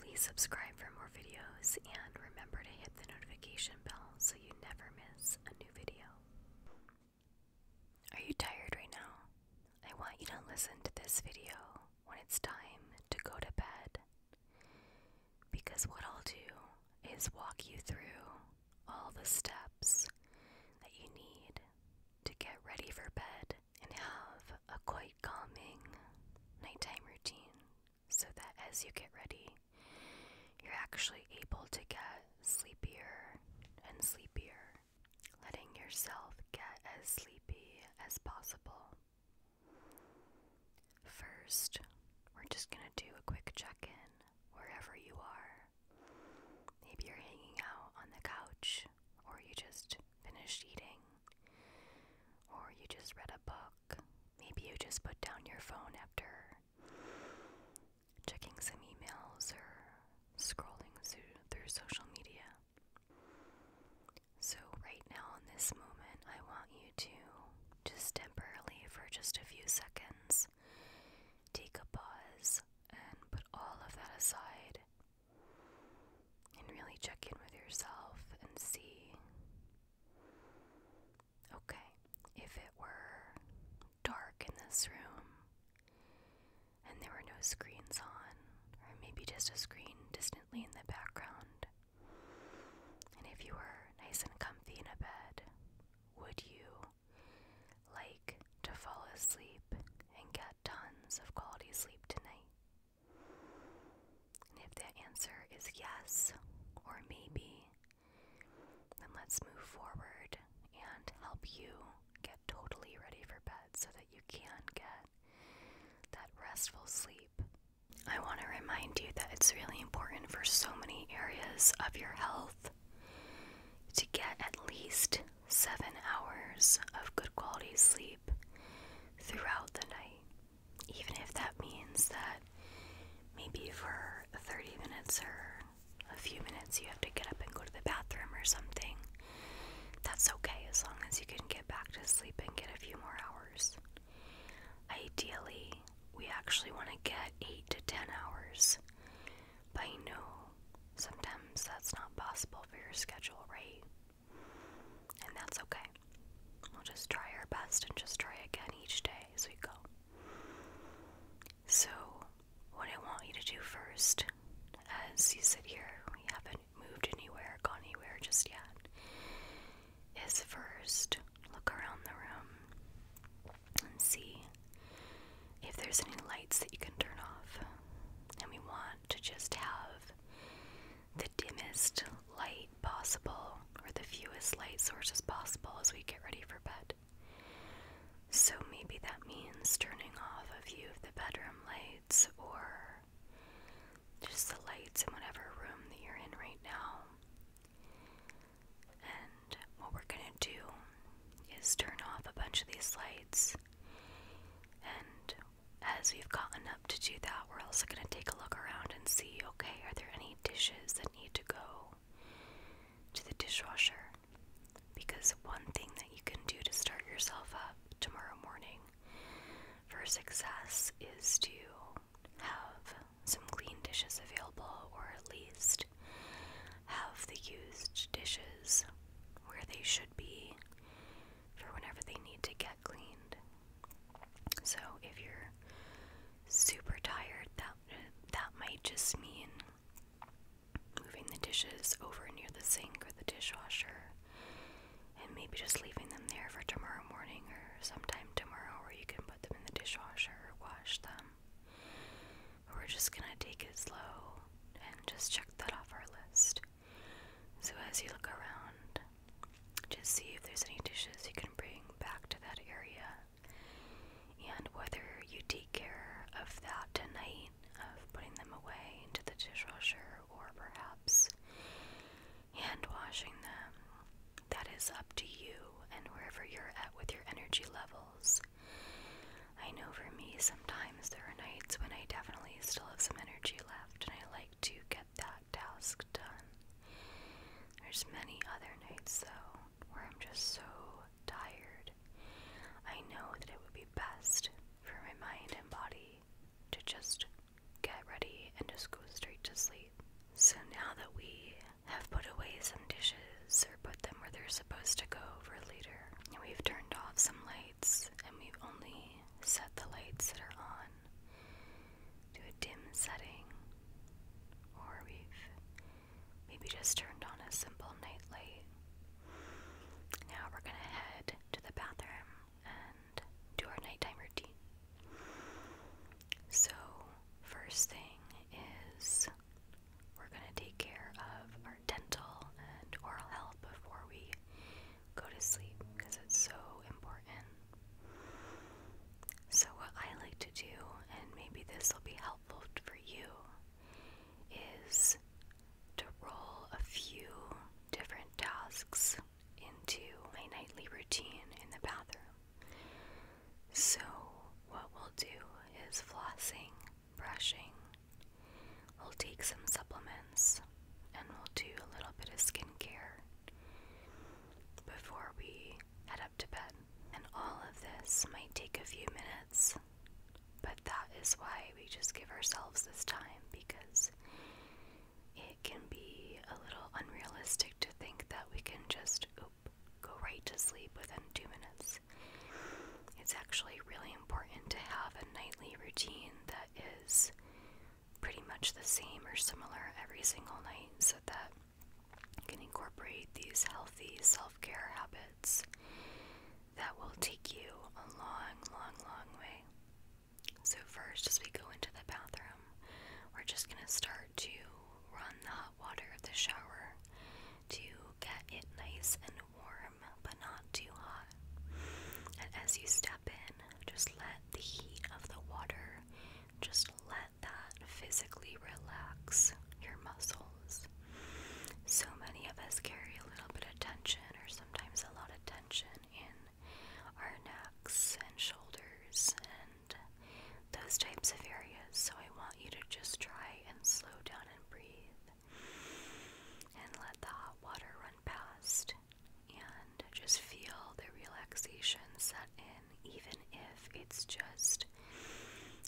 Please subscribe for more videos and remember to hit the notification bell so you never miss a new video. Are you tired right now? I want you to listen to this video when it's time to go to bed. Because what I'll do is walk you through all the steps that you need to get ready for bed and have a quite calming nighttime routine so that as you get ready, you're actually able to get sleepier and sleepier, letting yourself get as sleepy as possible. First, we're just going to do a quick check in wherever you are. Maybe you're hanging out on the couch, or you just finished eating, or you just read a book. Maybe you just put down your phone after checking some emails or scrolling through social media. So, right now, in this moment, I want you to just temporarily, for just a few seconds, take a pause and put all of that aside and really check in with yourself and see okay, if it were dark in this room and there were no screens on, or maybe just a screen distantly in the background, and if you were nice and comfy in a bed, would you like to fall asleep and get tons of quality sleep tonight? And if the answer is yes or maybe, then let's move forward and help you get totally ready for bed so that you can get that restful sleep. I want to remind you that it's really important for so many areas of your health to get at least seven hours of good quality sleep throughout the night even if that means that maybe for 30 minutes or a few minutes you have to get up and go to the bathroom or something, that's okay as long as you can get back to sleep and get a few more hours. Ideally, we actually want to get 8 to 10 hours, but I know sometimes that's not possible for your schedule, right? And that's okay. We'll just try our best and just try again each day as we go. So, what I want you to do first, as you sit here, we haven't moved anywhere, gone anywhere just yet, is first look around the room and see if there's any lights that you can turn off. And we want to just have the dimmest light possible or the fewest light sources possible as we get ready for bed. So maybe that means turning off a few of the bedroom lights or just the lights in whatever room that you're in right now. And what we're going to do is turn off a bunch of these lights. And as we've gotten up to do that, we're also going to take a look around and see okay, are there any dishes that need to go to the dishwasher? Because one thing that you can do to start yourself up tomorrow morning for success is to have some clean dishes available, or at least have the used dishes where they should be for whenever they need to get cleaned. So if you're super tired, that that might just mean moving the dishes over near the sink or the dishwasher and maybe just leaving them there for tomorrow morning or sometime tomorrow where you can put them in the dishwasher or wash them. we're just going to take it slow and just check that off our list. So as you look around, just see if there's any dishes you can bring back to that area and whether you take care of that tonight of putting them away into the dishwasher or perhaps hand washing them that is up to you and wherever you're at with your energy levels I know for me sometimes there are nights when I definitely still have some energy left and I like to get that task done. There's many other nights though where I'm just so tired. I know that it would be best for my mind and body to just get ready and just go straight to sleep. So now that we have put away some dishes or put them where they're supposed to go for later, and we've turned off some lights and we've only set the lights that are on to a dim setting, or we've maybe just turned on a simple night light. Now we're gonna head to the bathroom and do our nighttime routine. So, first thing is we're gonna take care of our dental and oral health before we go to sleep because it's so important. So, what I like to do, and maybe this will be helpful for you, is to roll a few different tasks into my nightly routine in the bathroom. So, what we'll do is flossing, brushing, we'll take some supplements, and we'll do a little bit of skincare before we head up to bed. And all of this might take a few minutes, but that is why we just give ourselves this time because it can be a little unrealistic to think that we can just go right to sleep within two minutes. It's actually really important to have a nightly routine that is pretty much the same or similar every single night so that you can incorporate these healthy self care habits that will take you a long, long, long way. So, first, as we go into the bathroom, we're just going to start to run the hot water of the shower to get it nice and warm, but not too hot. And as you step in, just let the heat of the water just let that physically relax your muscles. So many of us carry a little bit of tension, or sometimes a lot of tension, in our necks and shoulders and those types of areas. So I want you to just try and slow down and breathe and let the hot water run past and just feel the relaxation set in even if it's just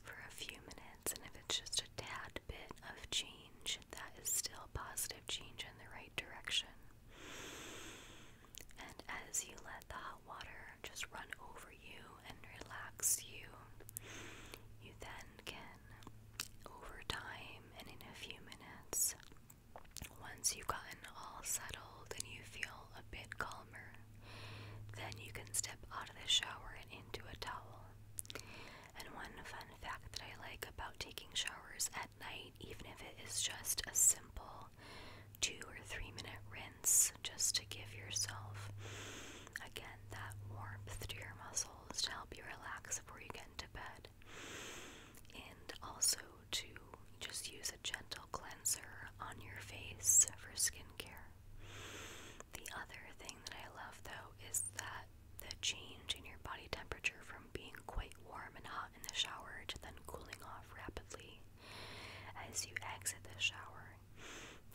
for a few minutes and if it's just a tad bit of change, that is still positive change in the right direction. And as you let the hot water just run over you and relax you, you then can, over time and in a few minutes, once you've gotten all settled and you feel a bit calmer, then you can step out of the shower and into a towel. And one fun fact that I like about taking showers at night, even if it is just a simple two or three minute rinse, just to give yourself again that warmth to your muscles to help you relax before you get into bed. And also, to just use a gentle cleanser on your face for skincare. The other thing that I love though is that the change in your body temperature from being quite warm and hot in the shower to then cooling off rapidly as you exit the shower.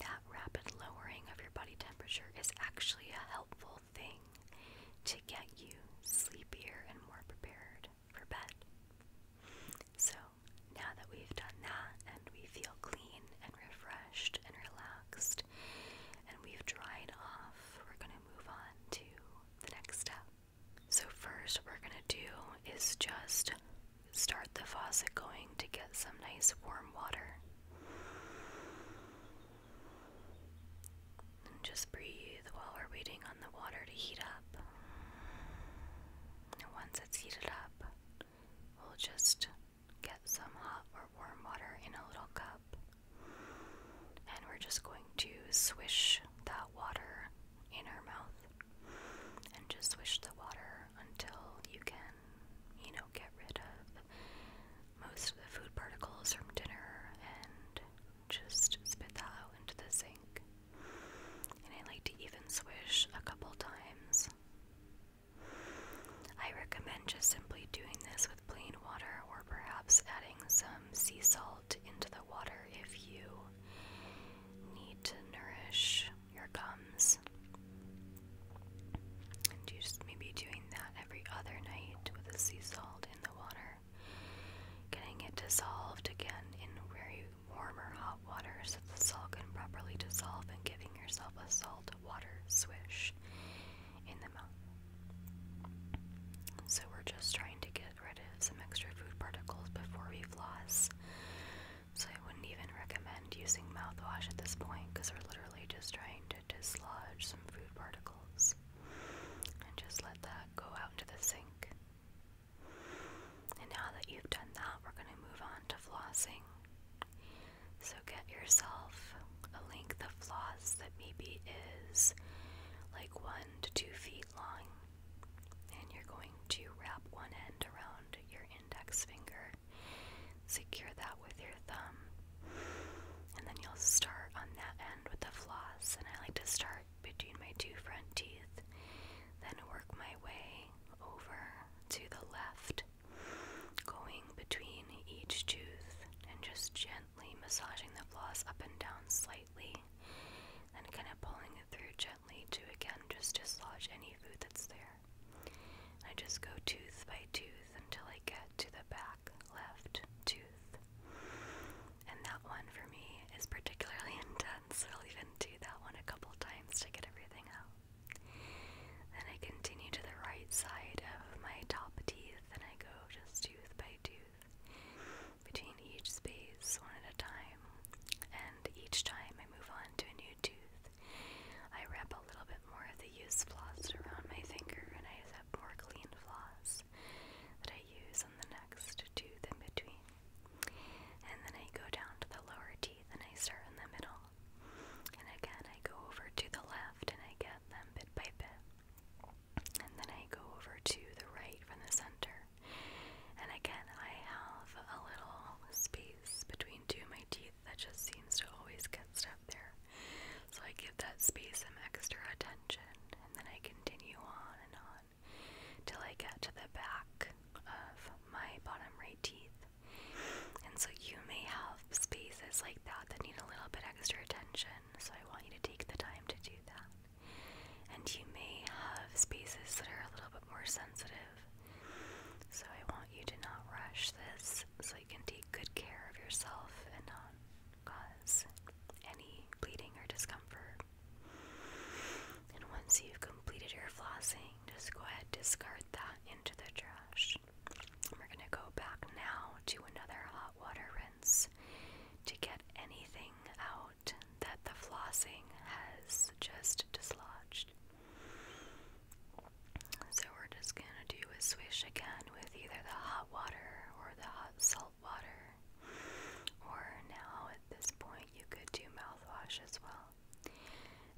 That rapid lowering of your body temperature is actually a helpful thing to get you sleepier and more prepared for bed. So now that we've done that and we feel clean and refreshed and relaxed and we've dried off, we're going to move on to the next step. So, first, what we're going to do is just start the faucet going to get some nice warm water. And just breathe while we're waiting on the water to heat up. And once it's heated up, we'll just get some hot or warm water in a little cup. And we're just going to swish that water in our mouth. And just swish the water until you can, you know, get rid of most of the food particles from dinner and just spit that out into the sink. And I like to even swish a couple times. I recommend just simply doing this with plain water or perhaps adding some sea salt into the water if you need to nourish your gums. And you just maybe doing that every other night with the sea salt in the water, getting it dissolved again in where you warmer hot water so the salt can properly dissolve and giving yourself a salt water swish in the mouth. So we're just trying to get rid of some extra food particles before we floss. So I wouldn't even recommend using mouthwash at this point because we're literally just trying to dislodge some food particles. And just let that go out into the sink. And now that you've done that, we're going to move on to flossing. So get yourself a length of floss that maybe is like one to two feet long. And you're going to wrap one end around your index finger, secure that with your thumb, and then you'll start on that end with the floss. And I like to start between my two front teeth, then work my way over to the left, going between each tooth and just gently massaging the floss up and down slightly, and kind of pulling it through gently to again just dislodge any food that's there. I just go tooth by tooth until I get to the back left tooth. And that one for me is particularly intense once, I'll even do that one a couple times to get everything out. Then I continue to the right side of my top teeth and I go just tooth by tooth between each space one at a time. And each time I move on to a new tooth, I wrap a little bit more of the used floss around my finger and I have more clean floss that I use on the next tooth in between. And then I go down to the lower teeth and I start in the middle. And again, I go over to the left and I get them bit by bit. And then I go over to the right from the center. And again, I have a little space between two of my teeth that just seems to always get stuck there. So I give that space some extra attention and then I continue on and on on till I get to the back of my bottom right teeth. And so you may have spaces like that that need a little bit extra attention, so I want you to take the time to do that. And you may have spaces that are a little bit more sensitive, so I want you to not rush this so you can take good care of yourself and not cause any bleeding or discomfort. And once you've completed your flossing, just go ahead discard that into the trash. We're going to go back now to another hot water rinse to get anything out that the flossing has just dislodged. So we're just going to do a swish again with either the hot water or the hot salt water. Or now at this point, you could do mouthwash as well.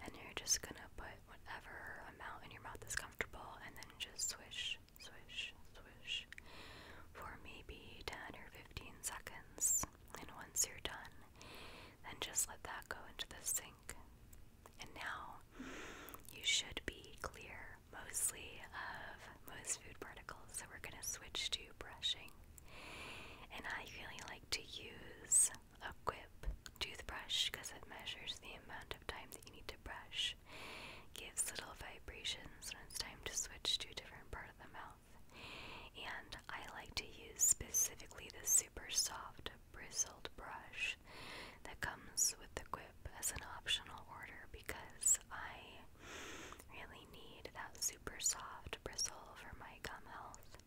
And you're just gonna put whatever amount in your mouth that's comfortable and then just swish, swish, swish for maybe 10 or 15 seconds. And once you're done, then just let that go into the sink. And now you should be clear mostly of most food particles. So we're gonna switch to brushing. And I really like to use a Quip toothbrush because it measures the amount of time that you need to brush, gives little vibrations when it's time to switch to a different part of the mouth, and I like to use specifically the super soft bristled brush that comes with the Quip as an optional order because I really need that super soft bristle for my gum health.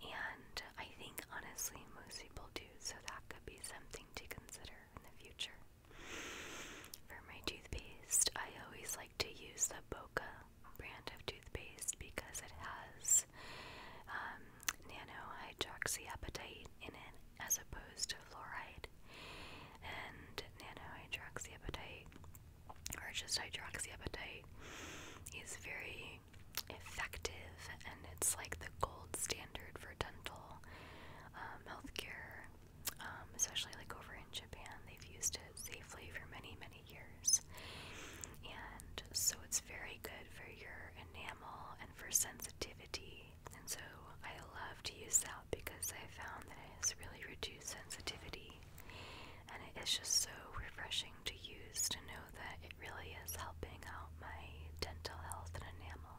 And I think honestly most people do, so that could be something to consider in the future. For my toothpaste, I always like to use the Boca brand of toothpaste because it has um, nano hydroxyapatite in it as opposed to fluoride. And nano hydroxyapatite or just hydroxyapatite is very effective and it's like the gold standard for dental um, healthcare, um, especially like over in Japan. They've used it safely for many, many years. And so it's very good for your enamel and for sensitivity. And so I love to use that because I found that it has really reduced sensitivity and it is just so refreshing to use to know that it really is helping out my dental health and enamel.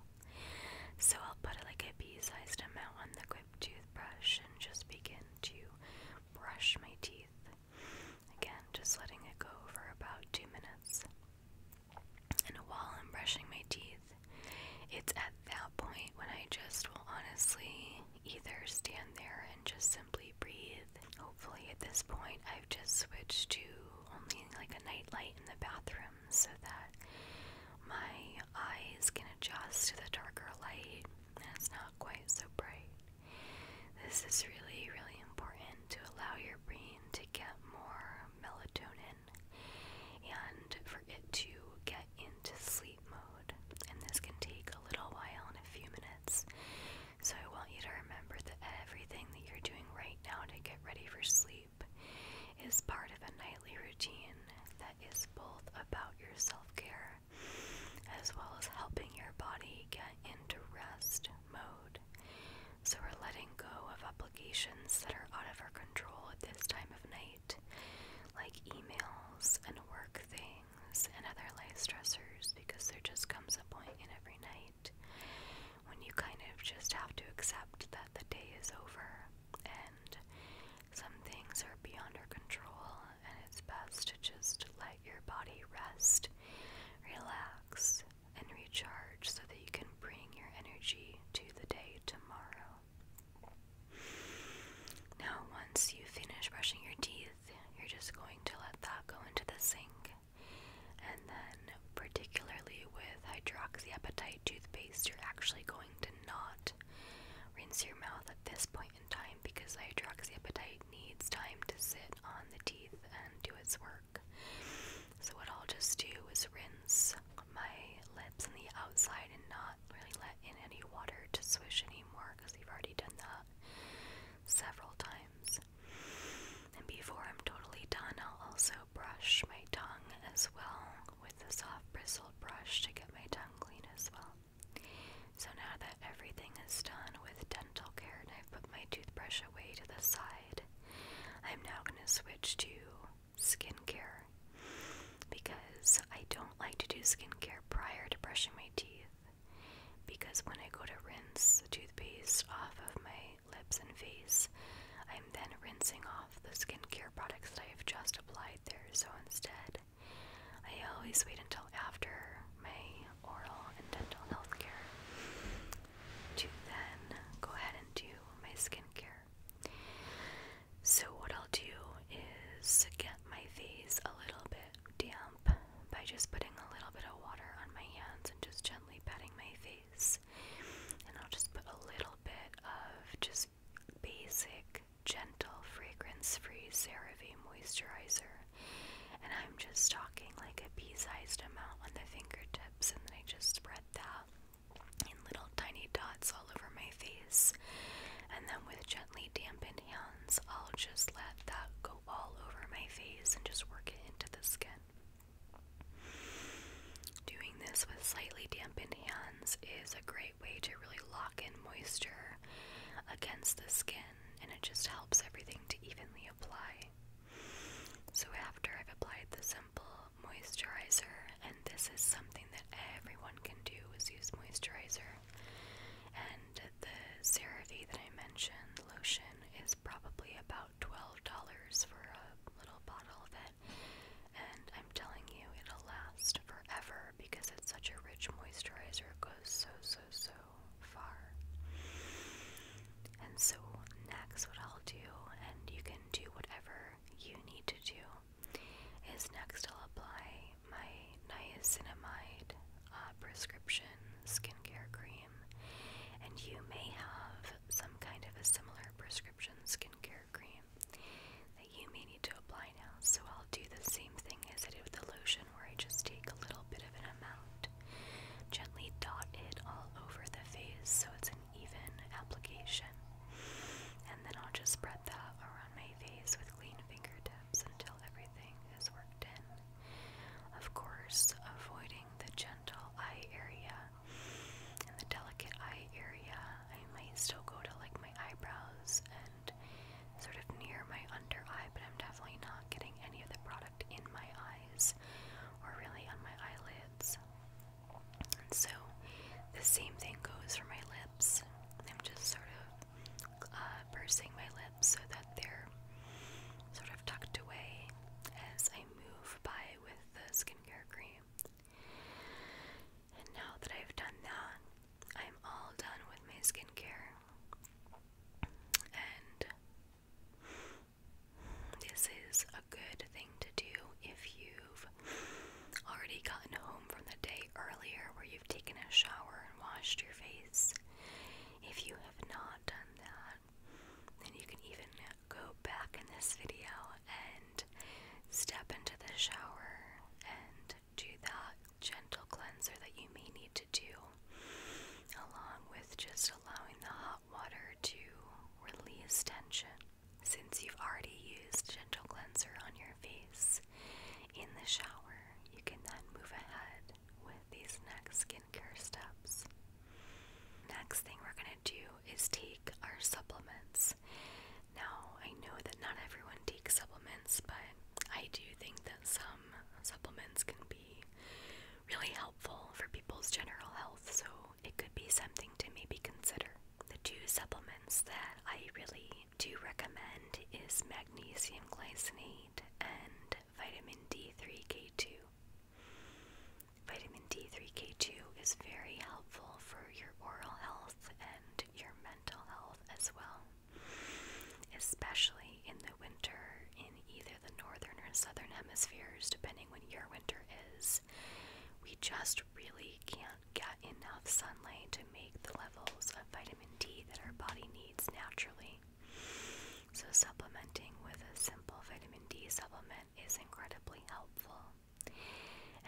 So I'll put like a pea-sized amount on the grip toothbrush and just begin to brush my teeth. Again, just letting it go for about two minutes. And while I'm brushing my teeth, it's at that point when I just will honestly either stand there and just simply breathe. Hopefully, at this point, I've just switched to only like a night light in the bathroom so that my eyes can adjust to the darker light and it's not quite so bright. This is really, really important to allow your brain to get more melatonin and for it to get into sleep mode. And this can take a little while in a few minutes. So I want you to remember that everything that you're doing right now to get ready for sleep is part of a nightly routine that is both about your self care as well as helping your body get into rest mode. So we're letting go of obligations that are out of our control at this time of night, like emails and work things and other lace stressors, because there just comes a point in every night when you kind of just have to accept that the day is over and some things are beyond our control and it's best to just let your body rest, relax, and recharge so that you can bring your energy to the day tomorrow. Now, once you finish brushing your teeth, you're just going to let that go into the sink. And then, particularly with hydroxyapatite toothpaste, you're actually going to not rinse your mouth at this point in time because hydroxyapatite needs time to sit on the teeth and do its work. So, what I'll just do is rinse my lips on the outside and not really let in any water to swish anymore because we've already done that several times. And before I'm totally done, I'll also brush my tongue as well with the soft bristled brush to get my tongue clean as well. So now that everything is done with dental care and I've put my toothbrush away to the side, I'm now going to switch to skincare because I don't like to do skincare prior to brushing my teeth because when I go to rinse the toothpaste off of my lips and face, I'm then rinsing off the skincare products that I have just applied there. So instead, I always wait until after my oral and dental health care to then go ahead and do my skincare. So, what I'll do is get my face a little bit damp by just putting a little bit of water on my hands and just gently patting my face. And I'll just put a little bit of just basic, gentle, fragrance free CeraVe moisturizer. And I'm just talking like a pea sized amount on the fingertips, and then I just spread that in little tiny dots all over my face. And then with gently dampened hands, I'll just let that go all over my face and just work it into the skin. Doing this with slightly dampened hands is a great way to really lock in moisture against the skin and it just helps everything to evenly apply. So, after I've applied the simple moisturizer, and this is something that everyone can do is use moisturizer, and the Cerave that I mentioned lotion is probably about $12 for a little bottle of it. And I'm telling you, it'll last forever because it's such a rich moisturizer. It goes so, so, so far. And so, next, what I'll do, and you can do whatever you need to do, is next I'll apply my niacinamide uh, prescription skincare cream and you may have some kind of a similar prescription skincare cream that you may need to apply now. So I'll do the same thing as I did with the lotion, where I just take a little bit of an amount, gently dot it all over the face so it's an even application, and then I'll just spread that around my face with clean fingertips until everything is worked in. Of course, avoiding the gentle eye area and the delicate eye area, I might still go to like my eyebrows and sort of near my under eye, but I'm definitely not getting any of the product in my eyes or really on my eyelids. And so the same thing goes for my lips. I'm just sort of uh, pursing my lips so that they're sort of tucked away as I move by with the skincare cream. And now that I've done that, I'm all done with my skincare. And this is a good thing to do if you've already gotten home from the day earlier where you've taken a shower and washed your face. If you have not done that, and you can even go back in this video and step into the shower and do that gentle cleanser that you may need to do, along with just allowing the hot water to release tension. Since you've already used gentle cleanser on your face in the shower, you can then move ahead with these next skin steps. Next thing we're going to do is take our supplements. Now, I know that not everyone takes supplements, but I do think that some supplements can be really helpful for people's general health, so it could be something to maybe consider. The two supplements that I really do recommend is magnesium glycinate and vitamin D3K2. Vitamin D3K2 is very helpful for your oral health and your mental health as well, especially in the winter in either the northern or southern hemispheres, depending when your winter is. We just really can't get enough sunlight to make the levels of vitamin D that our body needs naturally. So, supplementing with a simple vitamin D supplement is incredibly helpful.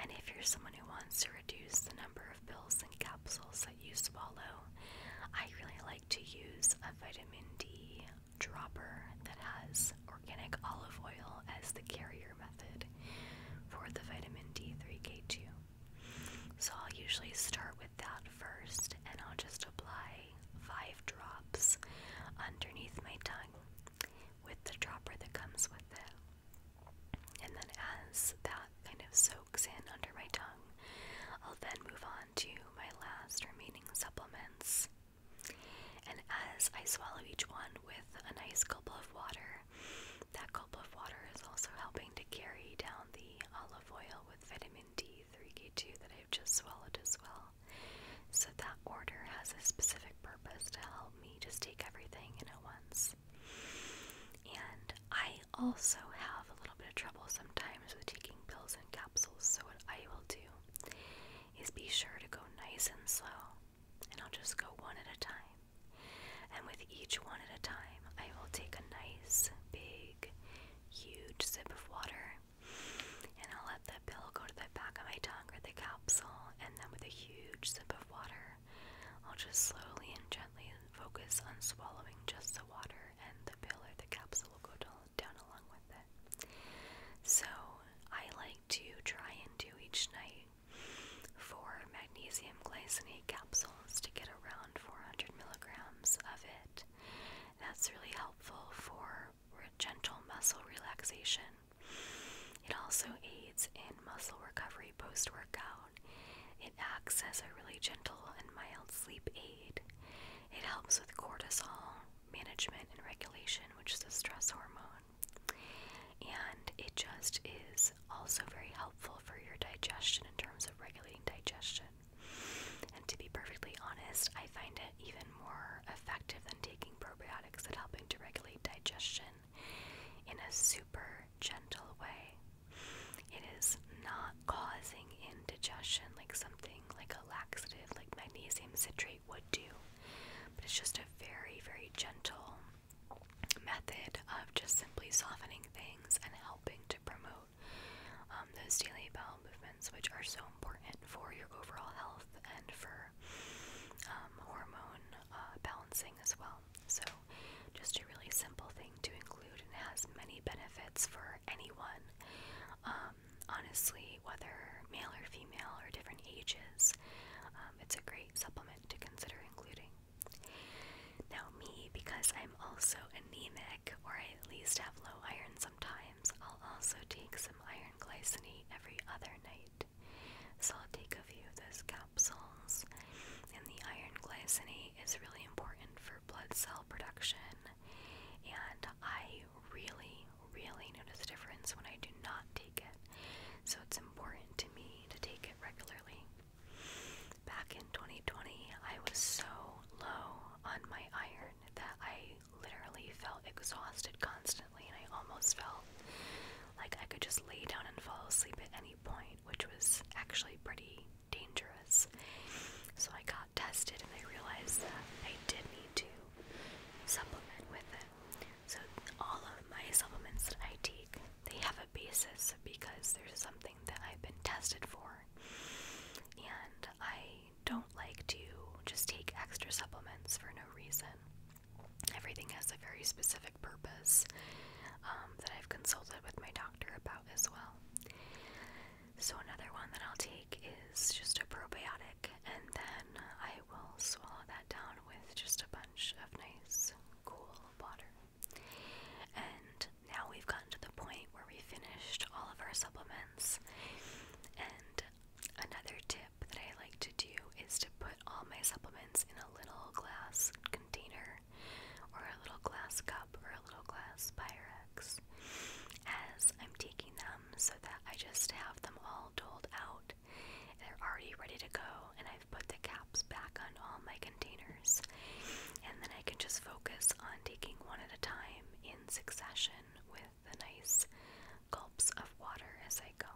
And if you're someone who wants to reduce the number of pills and capsules that you swallow, I really like to use a vitamin D dropper that has organic olive oil as the carrier method for the vitamin D3K2. So I'll usually start with that first and I'll just apply five drops underneath my tongue with the dropper that comes with it. And then as that kind of soaks in under my tongue, I'll then move on to my last remaining supplements. And as I swallow each one with a nice gulp of water, that gulp of water is also helping to carry down the olive oil with vitamin D3K2 that I I've just swallowed as well. So that order has a specific purpose to help me just take everything in at once. And I also have a little bit of trouble sometimes with taking pills and capsules, so what I will do is be sure to go nice and slow, and I'll just go one at a time. And with each one at a time, I will take a nice, big, huge sip of water and I'll let the pill go to the back of my tongue or the capsule, and then with a huge sip of water, I'll just slowly and gently focus on swallowing just the water, and the pill or the capsule will go down along with it. So I like to try and do each night four magnesium glycinate capsules to get around 400 milligrams of it. That's really helpful for for gentle muscle relaxation. It also aids in muscle recovery post workout. It acts as a really gentle and mild sleep aid. It helps with cortisol management and regulation, which is a stress hormone. And it just is also very helpful for your digestion in terms of regulating digestion. And to be perfectly honest, I find it even more effective than taking probiotics at helping to regulate digestion in a super gentle way. It is not causing indigestion like something like a laxative like magnesium citrate would do. But it's just a very, very gentle method of just simply softening things and helping to promote um, those daily bowel movements which are so important for your overall health and for um, hormone uh, balancing as well. So, just a really simple thing to include and has many benefits for anyone. Um, honestly, whether male or female or different ages, um, it's a great supplement to consider including. Now, me, because I'm also anemic, or I at least have low iron Sometimes I'll also take some iron glycinate every other night. So I'll take a few of those capsules. And the iron glycinate is really important for blood cell production. And I really, really notice a difference when I do not take it. So it's important to me to take it regularly. Back in 2020, I was so low on my iron that I literally felt exhausted constantly, and I almost felt like I could just lay down and fall asleep at any point, which was actually pretty dangerous. So I got tested, and I realized that I did need to supplement with it. So all of my supplements that I take, they have a basis because there's something that I've been tested for, and I don't like to just take extra supplements for no reason. Everything has a very specific purpose um, that I've consulted with my doctor about as well. So, another one that I'll take is just a probiotic, and then I will swallow that down with just a bunch of nice, cool water. And now we've gotten to the point where we finished all of our supplements, and Another tip that I like to do is to put all my supplements in a little glass container or a little glass cup or a little glass Pyrex as I'm taking them so that I just have them all doled out. They're already ready to go, and I've put the caps back on all my containers. And then I can just focus on taking one at a time in succession with the nice gulps of water as I go.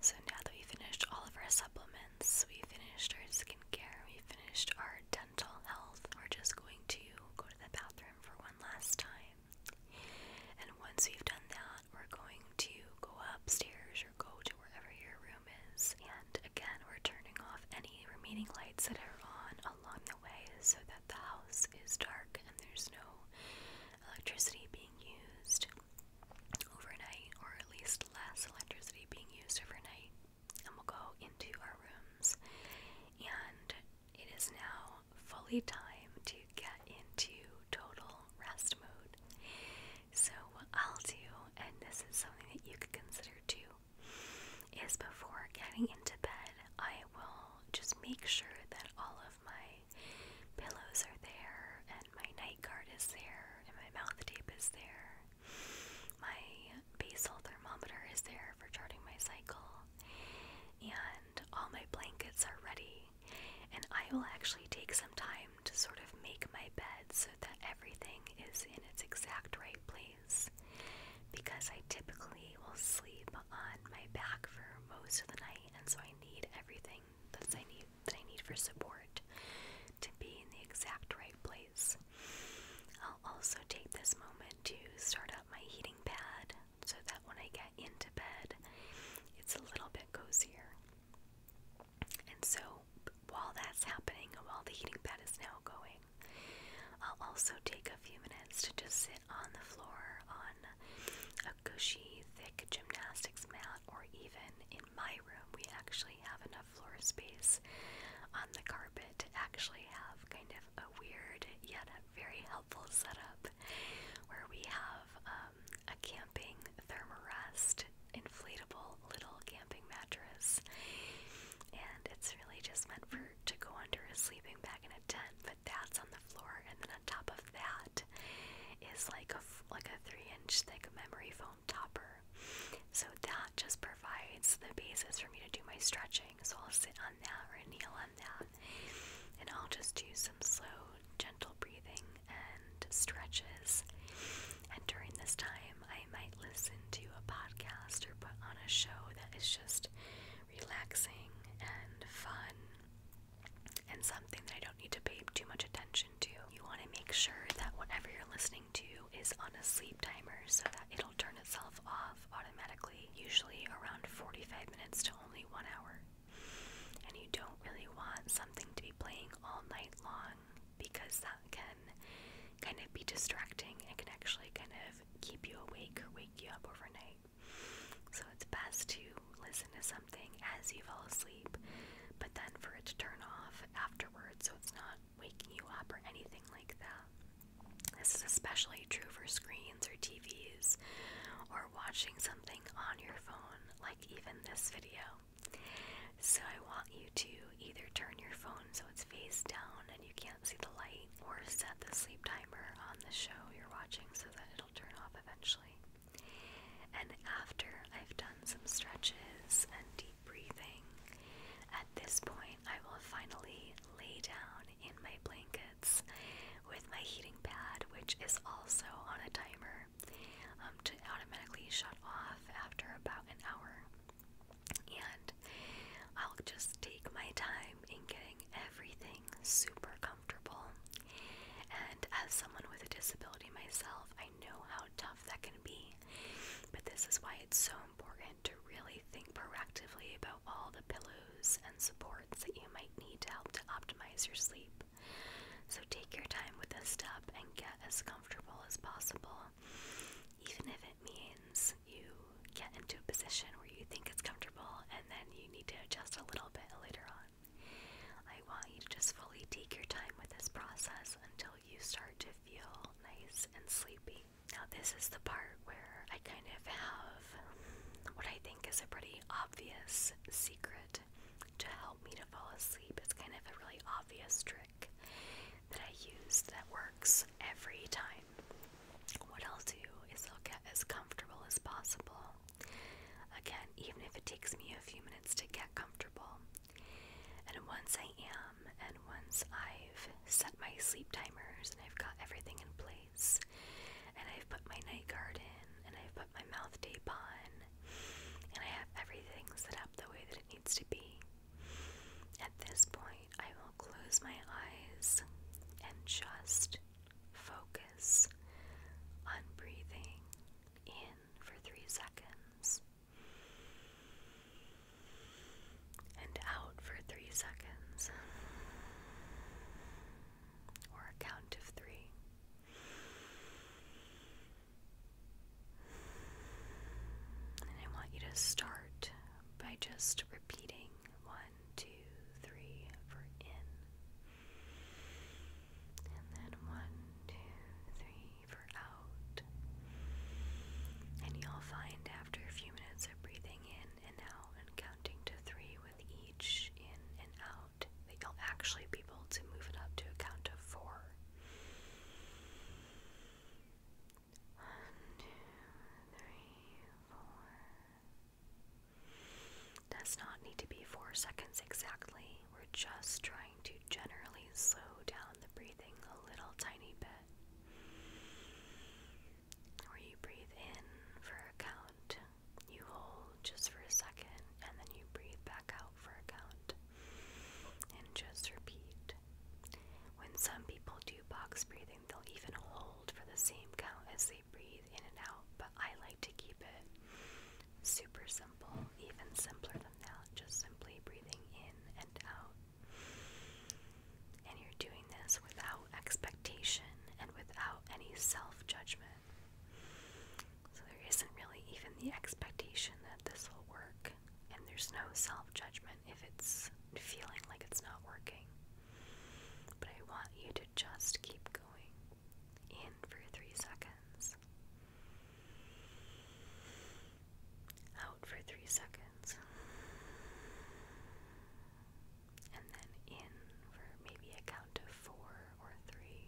So now that we finished all of our supplements, we finished our skincare, we finished our dental health, we're just going to go to the bathroom for one last time. And once we've done that, we're going to go upstairs or go to wherever your room is. And again, we're turning off any remaining lights that are on along the way so that the house is dark and there's no electricity being used overnight, or at least less electricity being used overnight. And we'll go into our rooms. And it is now fully time to get into total rest mode. So, what I'll do, and this is something that you could consider too, is before getting into bed, I will just make sure that all of my pillows are there, and my night guard is there, and my mouth tape is there. My basal thermometer is there for charting my cycle, and all my blankets are ready. And I will actually take some time to sort of make my bed so that everything is in its exact right place because I typically will sleep on my back for most of the night and so I need everything that I need that I need for support to be in the exact right place. I'll also take this moment to start up my heating pad so that when I get into bed, it's a little bit cozier. And so while that's happening, while the heating pad is now going, I'll also take a few minutes to just sit on the floor on a cushy, thick gymnastics mat, or even in my room, we actually have enough floor space on the carpet to actually have kind of a weird yet very helpful setup where we have um, a camping thermarest inflatable little camping mattress and it's really just meant for to go under a sleeping bag in a tent that's on the floor, and then on top of that is like a like a three inch thick memory foam topper. So that just provides the basis for me to do my stretching. So I'll sit on that or kneel on that, and I'll just do some slow, gentle breathing and stretches. And during this time, I might listen to a podcast or put on a show that is just relaxing and fun and something that I don't need to pay too much attention to. You want to make sure that whatever you're listening to is on a sleep timer so that it'll turn itself off automatically, usually around 45 minutes to only one hour. And you don't really want something to be playing all night long because that can kind of be distracting and can actually kind of keep you awake or wake you up overnight. So it's best to listen to something as you fall asleep, but then for it to turn off afterwards so it's not waking you up or anything like that. This is especially true for screens or TVs or watching something on your phone, like even this video. So I want you to either turn your phone so it's face down and you can't see the light, or set the sleep timer on the show you're watching so that turn off eventually. And after I've done some stretches and deep breathing, at this point I will finally lay down in my blankets with my heating pad, which is also on a timer um, to automatically shut off after about an hour. And I'll just take my time in getting everything super comfortable. And as someone with a disability myself, I know how tough that can be. But this is why it's so important to really think proactively about all the pillows and supports that you might need to help to optimize your sleep. So take your time with this step and get as comfortable as possible, even if it means you get into a position where you think it's comfortable and then you need to adjust a little bit later on. I want you to just fully take your time with this process until you start to feel nice and sleepy. Now, this is the part where I kind of have what I think is a pretty obvious secret to help me to fall asleep. It's kind of a really obvious trick that I use that works every time. What I'll do is I'll get as comfortable as possible Again, even if it takes me a few minutes to get comfortable. And once I am, and once I've set my sleep timers and I've got everything in place, and I've put my night guard in, and I've put my mouth tape on, and I have everything set up the way that it needs to be, at this point I will close my eyes and just focus on breathing in for three seconds and out for three seconds or a count of three. And I want you to start by just repeating one, two, three for in, and then one, two, three out. And you'll find after a few minutes of breathing in and out and counting to three with each in and out that you'll actually be able to move it up to a count of four. One, two, two, three, four. Does not need to be four seconds exactly. We're just trying to generally slow down the breathing a little tiny bit. Where you breathe in for a count, you hold just for a second, and then you breathe back out for a count. And just repeat. When some people do box breathing, they'll even hold for the same count as the breathe in and out, but I like to keep it super simple, even simpler than that, just simply breathing in and out. And you're doing this without expectation and without any self judgment. So there isn't really even the expectation that this will work, and there's no self judgment if it's feeling like it's not working. But I want you to just keep going in for three seconds, out for three seconds, and then in for maybe a count of four or three,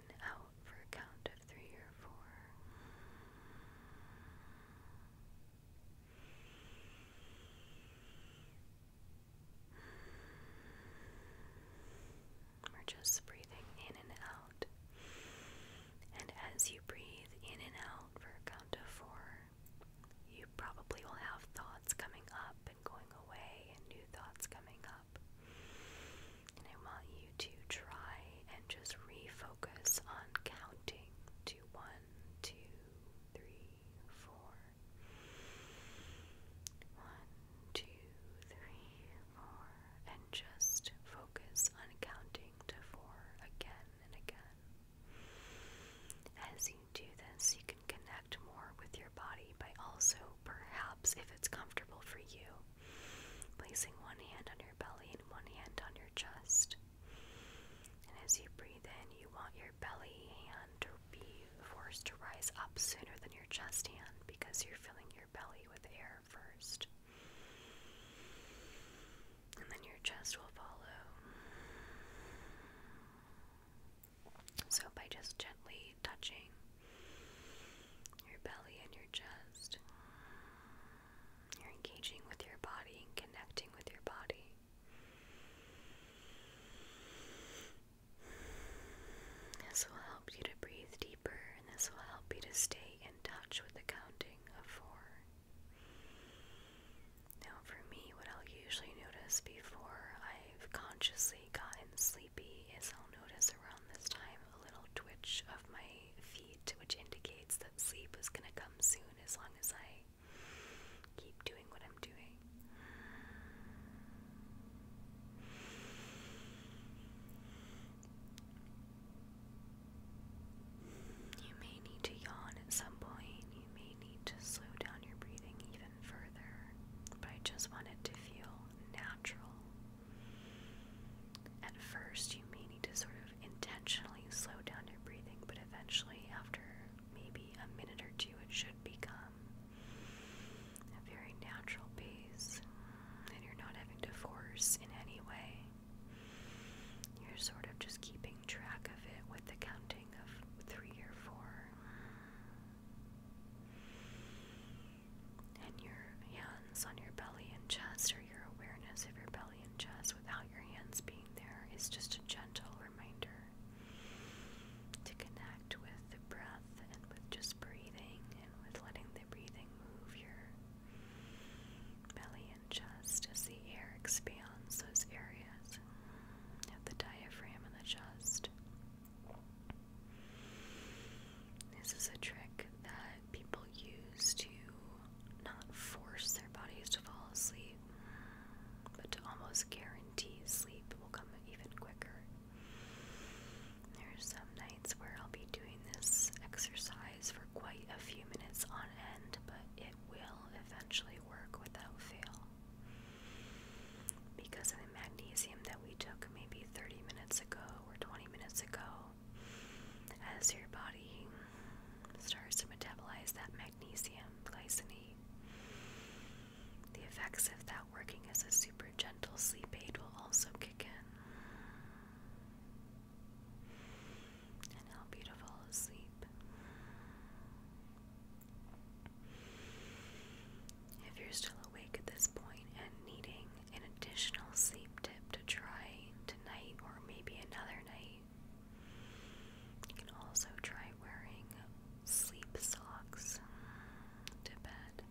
and out for a count of three or four. We're just breathing in and out. And as you breathe in and out for a count of four, you probably will have thoughts coming up and going away, and new thoughts coming up. And I want you to try and just refocus on counting to one, two, three, four. One, And just focus on counting to four again and again. As you do this, you can connect more with your body by also, perhaps, if it's comfortable for you, placing one hand on your belly and one hand on your chest. And as you breathe, then you want your belly hand to be forced to rise up sooner than your chest hand because you're filling your belly with air first. And then your chest will follow. So, by just gently touching your belly and your chest, you're engaging with your body and connecting with your body. This will help you to breathe deeper, and this will help you to stay in touch with the counting of four. Now, for me, what I'll usually notice before I've consciously gotten sleepy is I'll notice around this time a little twitch of my feet, which indicates that sleep is going to come soon as long as I keep doing what I'm i You may need to yawn at some point. You may need to slow down your breathing even further. But I just wanted to feel natural. At first, you may need to sort of intentionally slow down your breathing, but eventually, after maybe a minute or two, it should become a very natural pace, and you're not having to force in any way. You're sort of just keeping track of it with the counting of three or four. And your hands on your belly and chest, or your awareness of your belly and chest without your hands being there, is just a gentle reminder to connect with the breath and with just breathing and with letting the breathing move your belly and chest as the air expands those areas the diaphragm and the chest. This is a trick that people use to not force their bodies to fall asleep, but to almost guarantee sleep will come even quicker. There's some nights where I'll be doing this exercise for quite a few minutes on end, but it will eventually work without fail. Because of the magnesium that we took maybe 30 minutes ago or 20 minutes ago, as your body starts to metabolize that magnesium glycine. The effects of that working as a super gentle sleep aid will also kick in. And help you to fall asleep. If you're still awake at this point and needing an additional sleep tip to try tonight or maybe another night, you can also try wearing sleep socks to bed.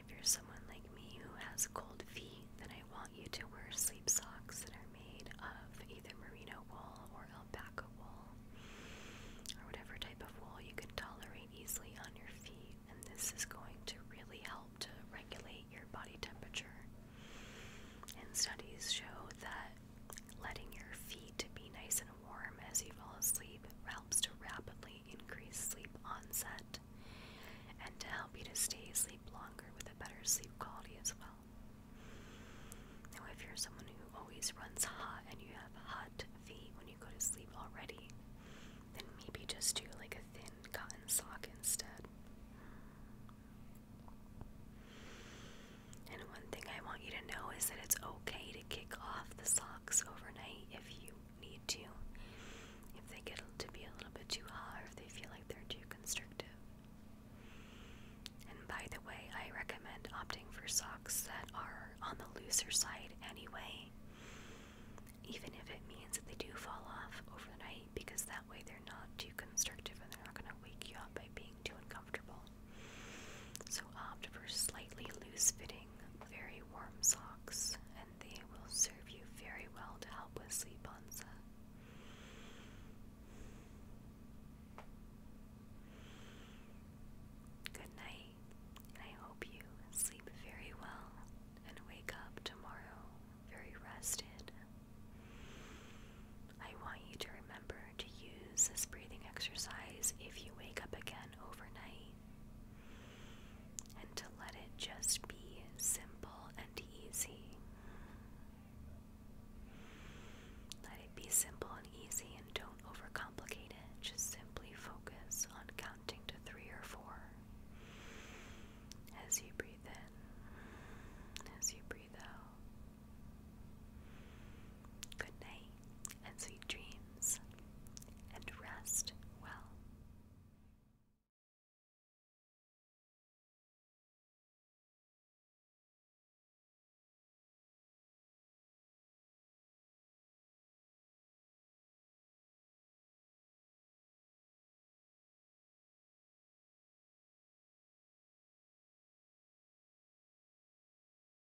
If you're someone like me who has cold feet, then I want you to wear sleep socks that are made of either merino wool or alpaca wool, or whatever type of wool you can tolerate easily on your feet. And this is going to really help to regulate your body temperature. And studies show that Letting your feet be nice and warm as you fall asleep helps to rapidly increase sleep onset and to help you to stay asleep longer with a better sleep quality as well. Now, if you're someone who always runs hot and you have hot feet when you go to sleep already, then maybe just do like a thin cotton sock instead. And one thing I want you to know is that it's okay to kick off the socks overnight if you need to, if they get to be a little bit too hot or if they feel like they're too constrictive. And by the way, I recommend opting for socks that are on the looser side anyway, even if it means that they do fall off overnight, because that way they're not too constrictive and they're not going to wake you up by being too uncomfortable, so opt um, for slightly loose fitting, very warm socks, and they will serve you very well to help with sleep onset. Good night, and I hope you sleep very well and wake up tomorrow very rested. I want you to remember to use this breathing exercise if you wake up again overnight and to let it just be simple and easy. Let it be simple and easy and don't overcomplicate it. Just simply focus on counting to three or four as you breathe in, as you breathe out. Good night and sweet dreams, and rest well.